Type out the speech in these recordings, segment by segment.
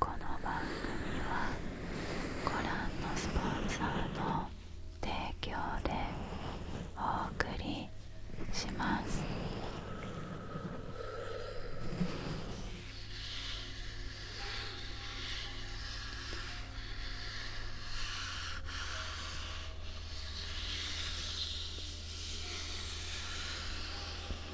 この番組はご覧のスポンサーの提供でお送りします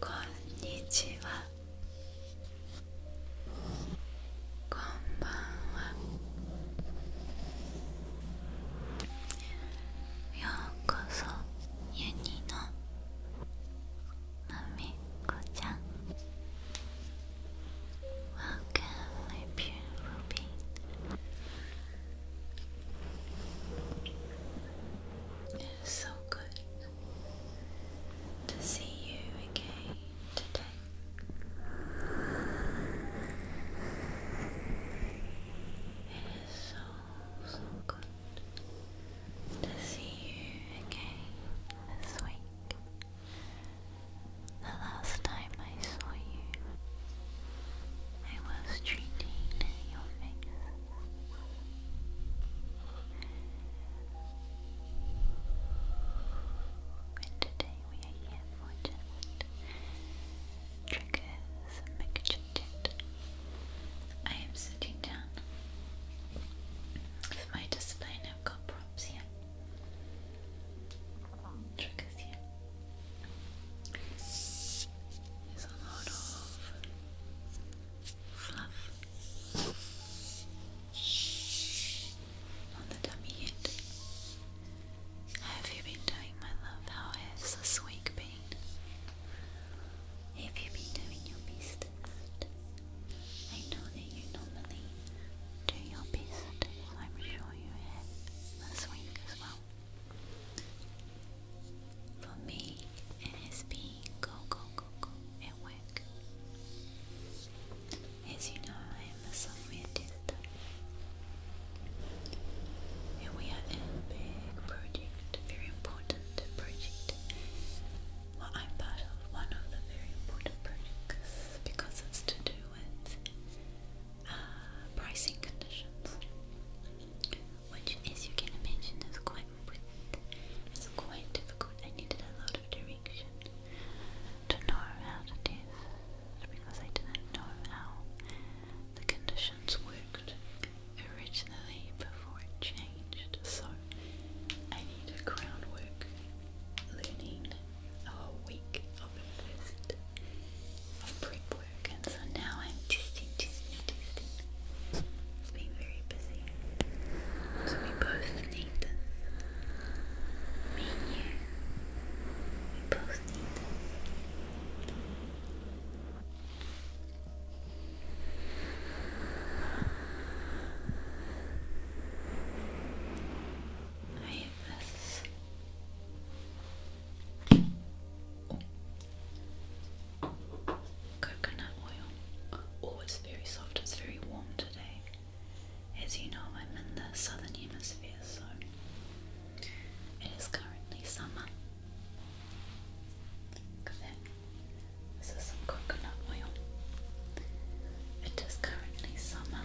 こんにちはこんばんはようこそユニのまみこちゃん Welcome, my beautiful being. It is so good to see you again today. It is so, so good to see you again this the last time I saw you, I was treating your face. And today we are here for just triggers and make I am sitting down with my display I've got props here triggers you. There's a lot of fluff on the tummy yet. How have you been doing, my love? How has this week been? Have you been doing your best? I know that you normally do your best, as I'm sure you have this week as well. For me, it has go, go, go, go at work. As you know, I am a software tester. And we are a big project, very important project well, I'm part of one of the very important projects because it's to do with uh, pricing conditions, which, as you can imagine, is quite weird. quite difficult. I needed a lot of direction to know how to do because I didn't know how the conditions worked originally before it changed so I need a crown work learning a whole week of prep work and so now I'm testing, testing, testing. It's very busy. So we both need this. Me We both need Coconut oil. Oh, it's very soft, it's very warm today. As you know, I'm in the southern hemisphere, so it is currently summer. This is some coconut oil. It is currently summer.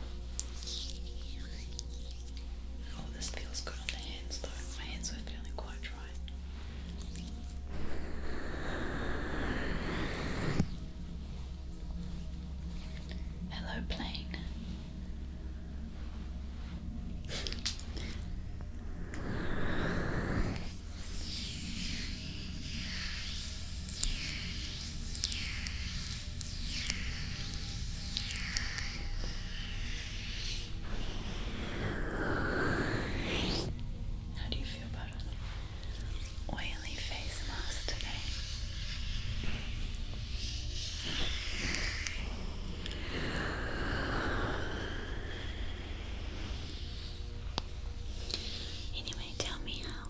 Oh, this feels good on the hands though. My hands are feeling quite dry. Hello, plane. How do you feel about oily face mask today? Anyway, tell me how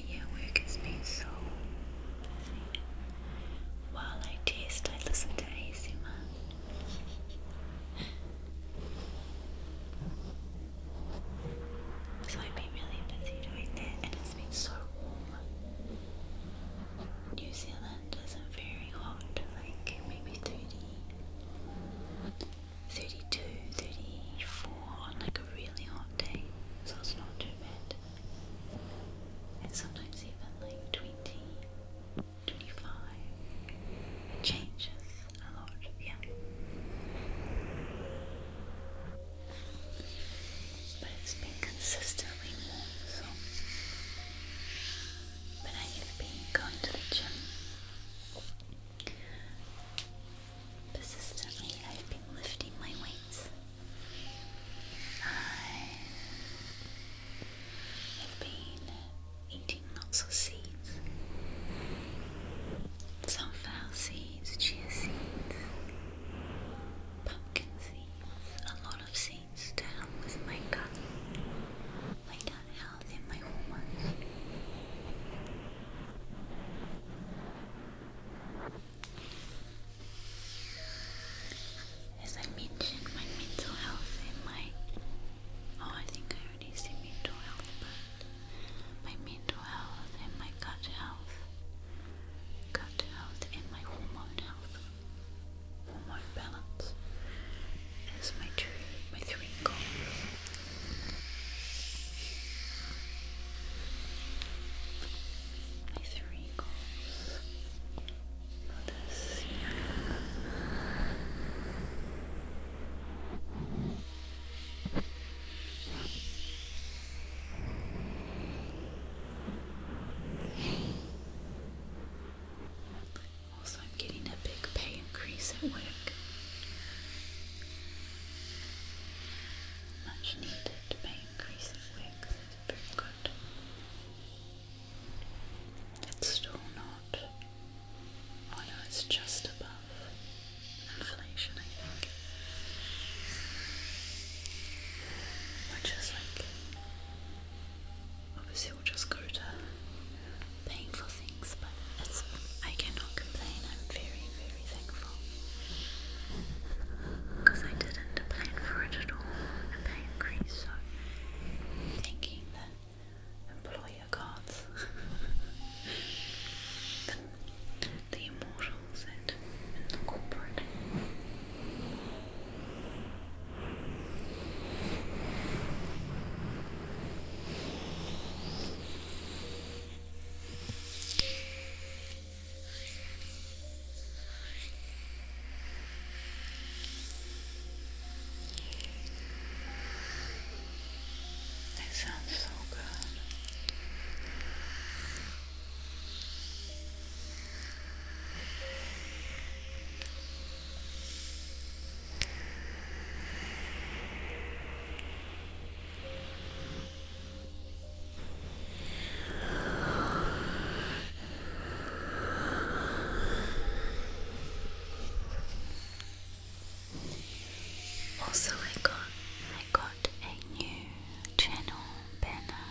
my earwork has been so While I taste, I listen to ASMR. So I've been really busy doing that, and it's been so warm. New Zealand isn't very hot, like maybe 30, like really hot so it's not too bad. And sometimes even like 20, it changes a lot, yeah. But it's been consistently warm, so. But I have been going to the gym Persistently, I've been lifting my weights. I've been eating lots of seeds sunflower seeds, chia seeds, pumpkin seeds, a lot of seeds to help with my gut, my gut health, and my hormones. As I mentioned, my mental health and my oh, I think I already said mental health, but my mental health and my gut health, gut health and my hormone health, hormone balance is my two, my three goals my three goals for this Also, I'm getting a big pay increase at work much needed by increasing wigs is pretty good. It's still not, oh no, it's just above inflation, I think. Which is like, obviously, we'll just go to painful things, but I cannot complain. I'm very very, very thankful because I didn't plan for it at all, and they increased. So, thanking the employer gods, the, immortals, and the corporate. They sound so good. Good. Also, I got I got a new channel banner.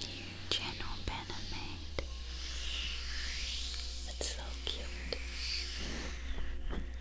New channel banner made. It's so cute.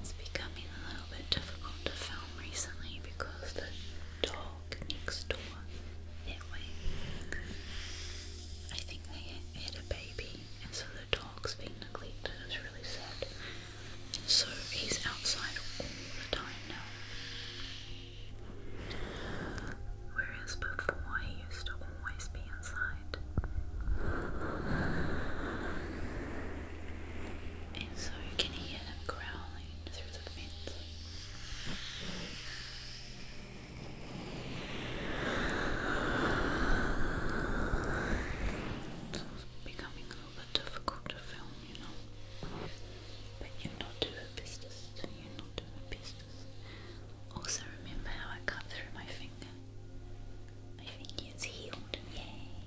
It's becoming a little bit difficult to film recently because the dog next door that I think they had a baby, and so the dog's been neglected. It's really sad. So he's outside all the time now. Whereas before he used to always be inside. And so you can hear him growling through the fence. It's becoming little difficult to film, you know. But you not do her business. You not do her business. Also remember how I cut through my finger. My finger is healed. Yay! I've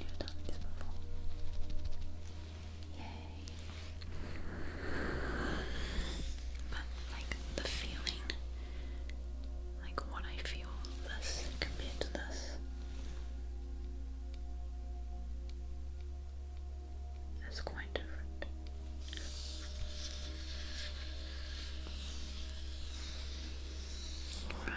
never done this before. Yay! But like the feeling, like what I feel this compared to this, is quite different. All right.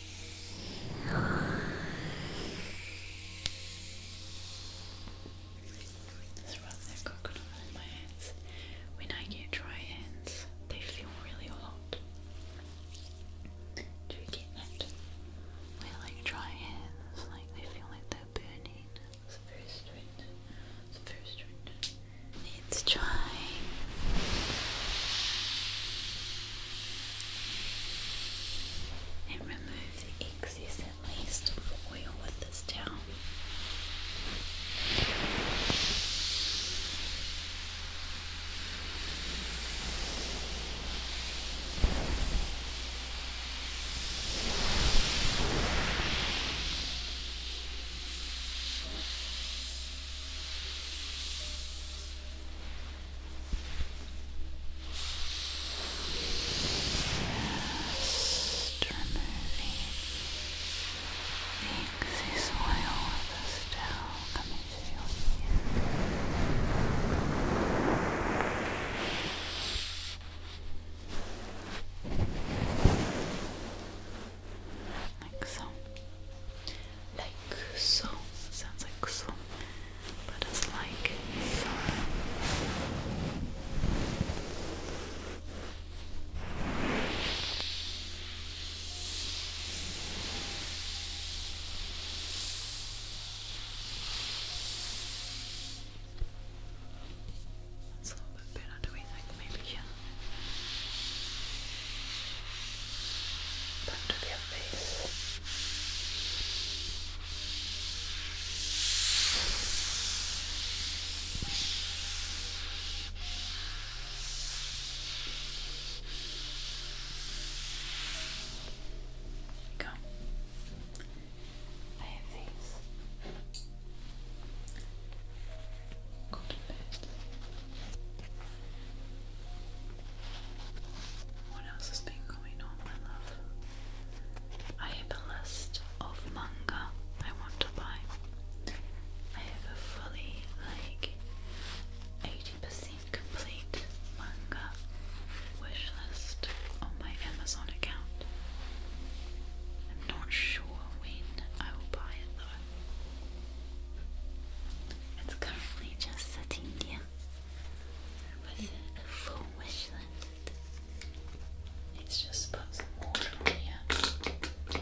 Just rub that coconut on my hands. When I get dry hands, they feel really hot. Do you get that? When like dry hands, like they feel like they're burning. It's strange. It's very strange. Let's try and remove the excess at least of oil with this towel. Just removing the excess oil that's still coming to your Like so like so. Sounds like so, but it's like so. a little bit better, do we think? Maybe, yeah front of your face. Go. I have these. Cotton bits. What else has been going on, my love? I have a list of manga I want to buy. I have a fully like 80% complete manga wish list on my Amazon account. I'm not sure when I will buy it though. It's currently just sitting here with a full wish list. let just put some water on here.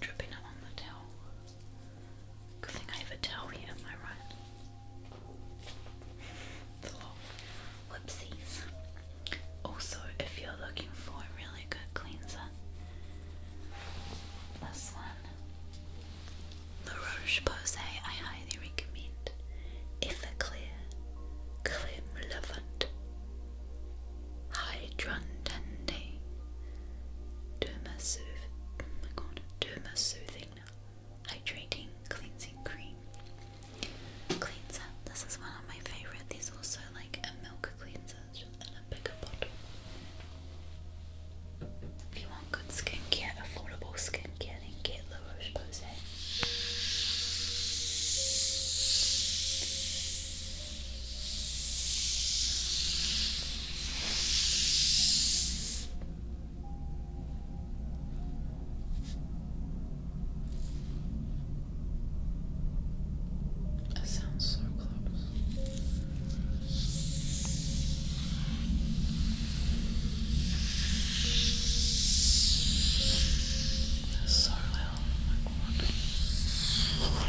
dripping on the towel. Good thing I have a towel here, am I right? Whoopsies. Also, if you're looking for a really good cleanser, this one, La Roche Posay, I highly recommend. Everclear Clem Levant Hydrantande Derma Sooth. Oh my god, Derma Soothing Hydrating Cleansing Cream. Cleanser. This is one of my favorite. There's also like a milk cleanser in a bigger bottle. If you want good skincare, affordable skincare, then get La Roche Posay. That sounds so close. so loud. Oh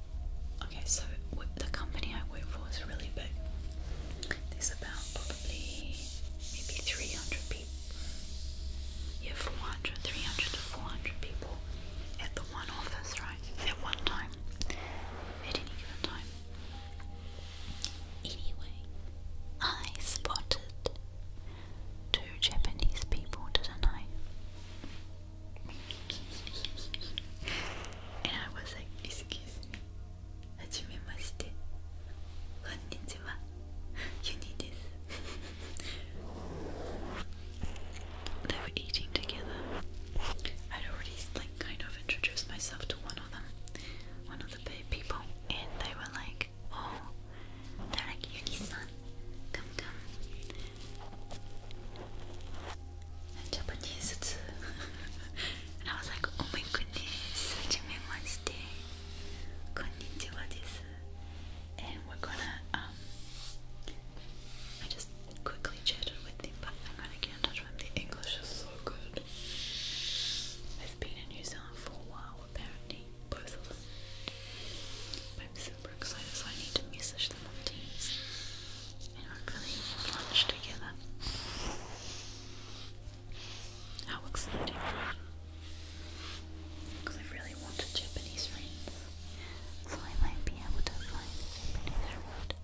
Okay, so the company I work for is really big. There's about probably maybe 300 people. Yeah, 400, 300 to 400 people at the one office, right? At one time. At any given time. Anyway, I spotted two Japanese people, did and I was like, excuse me, hajimemashite, konnichiwa, you need this. they were eating together. I'd already like kind of introduced myself to one of them, one of the people, and they were like, oh, they're like, Yuni-san, come, come. Japanese too. I was like, oh my goodness, Hajimemashite. Konnichiwa desu. And we're gonna, um, I just quickly chatted with him, but I'm gonna get in touch with him. The English is so good. I've been in New Zealand for a while, apparently, both of them. But super excited, so I need to message the Maltese and hopefully lunch together. How exciting! Because I really want Japanese friend, so I might be able to find somebody that would.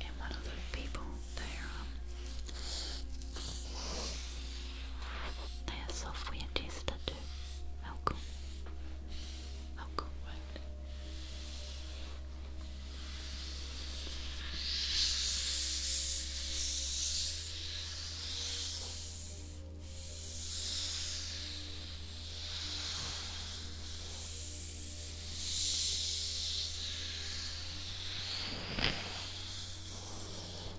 And one of the people there, um, Eu sou fuyatista de algum. Algum, right?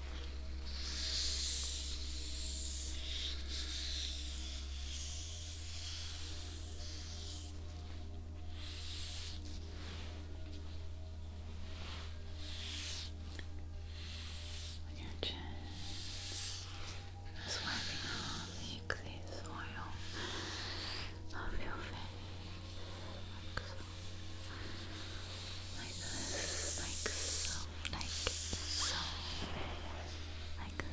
On your swiping all the excess oil off your face, like this, like so like so, like that. Good.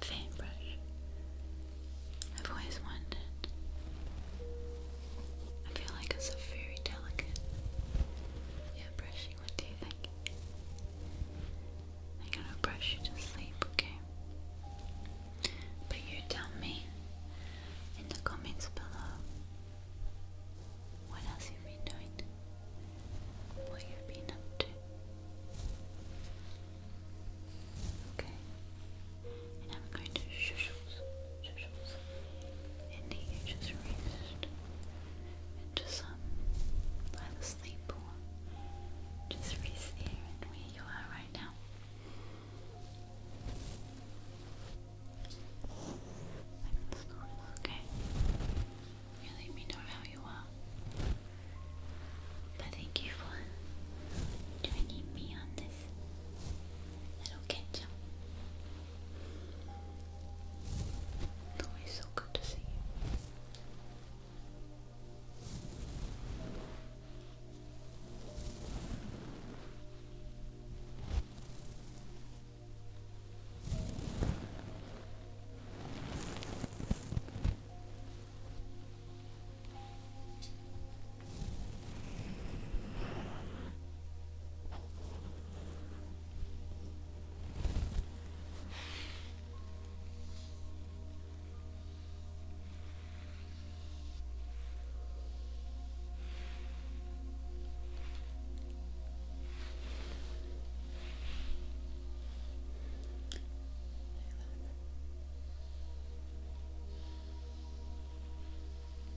Paintbrush. I've always wondered. I feel like it's a very delicate, yeah, brushy what do you think? I'm gonna brush you to sleep, okay? But you tell me in the comments below what else you've been doing, what you've been up to. Okay? And I'm going to shushles, shushles, and he just rest into some either sleep just rest there and where you are right now. okay. You let me know how you are. But thank you for joining me on this little catch it's always so good to see you.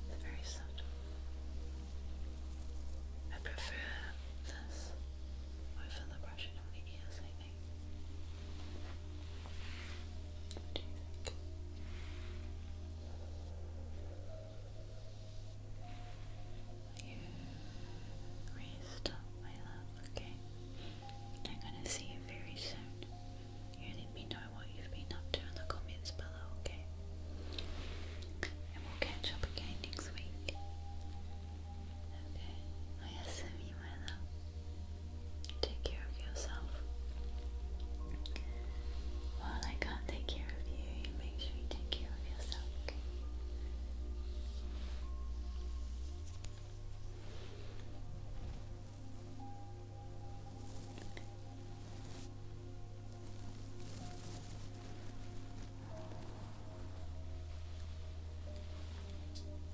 It's very subtle. I prefer this over the brushing of the ears, I do you think? You raised up, my love, okay? I'm gonna see you very soon. You let me know what you've been up to in the comments below, okay? and we'll catch up again next week. Okay, Oyasumi, my love. Take care of yourself. Well, I can't take care of you. make sure you take care of yourself. Let's change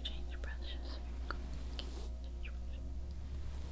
brushes here. Change brushes.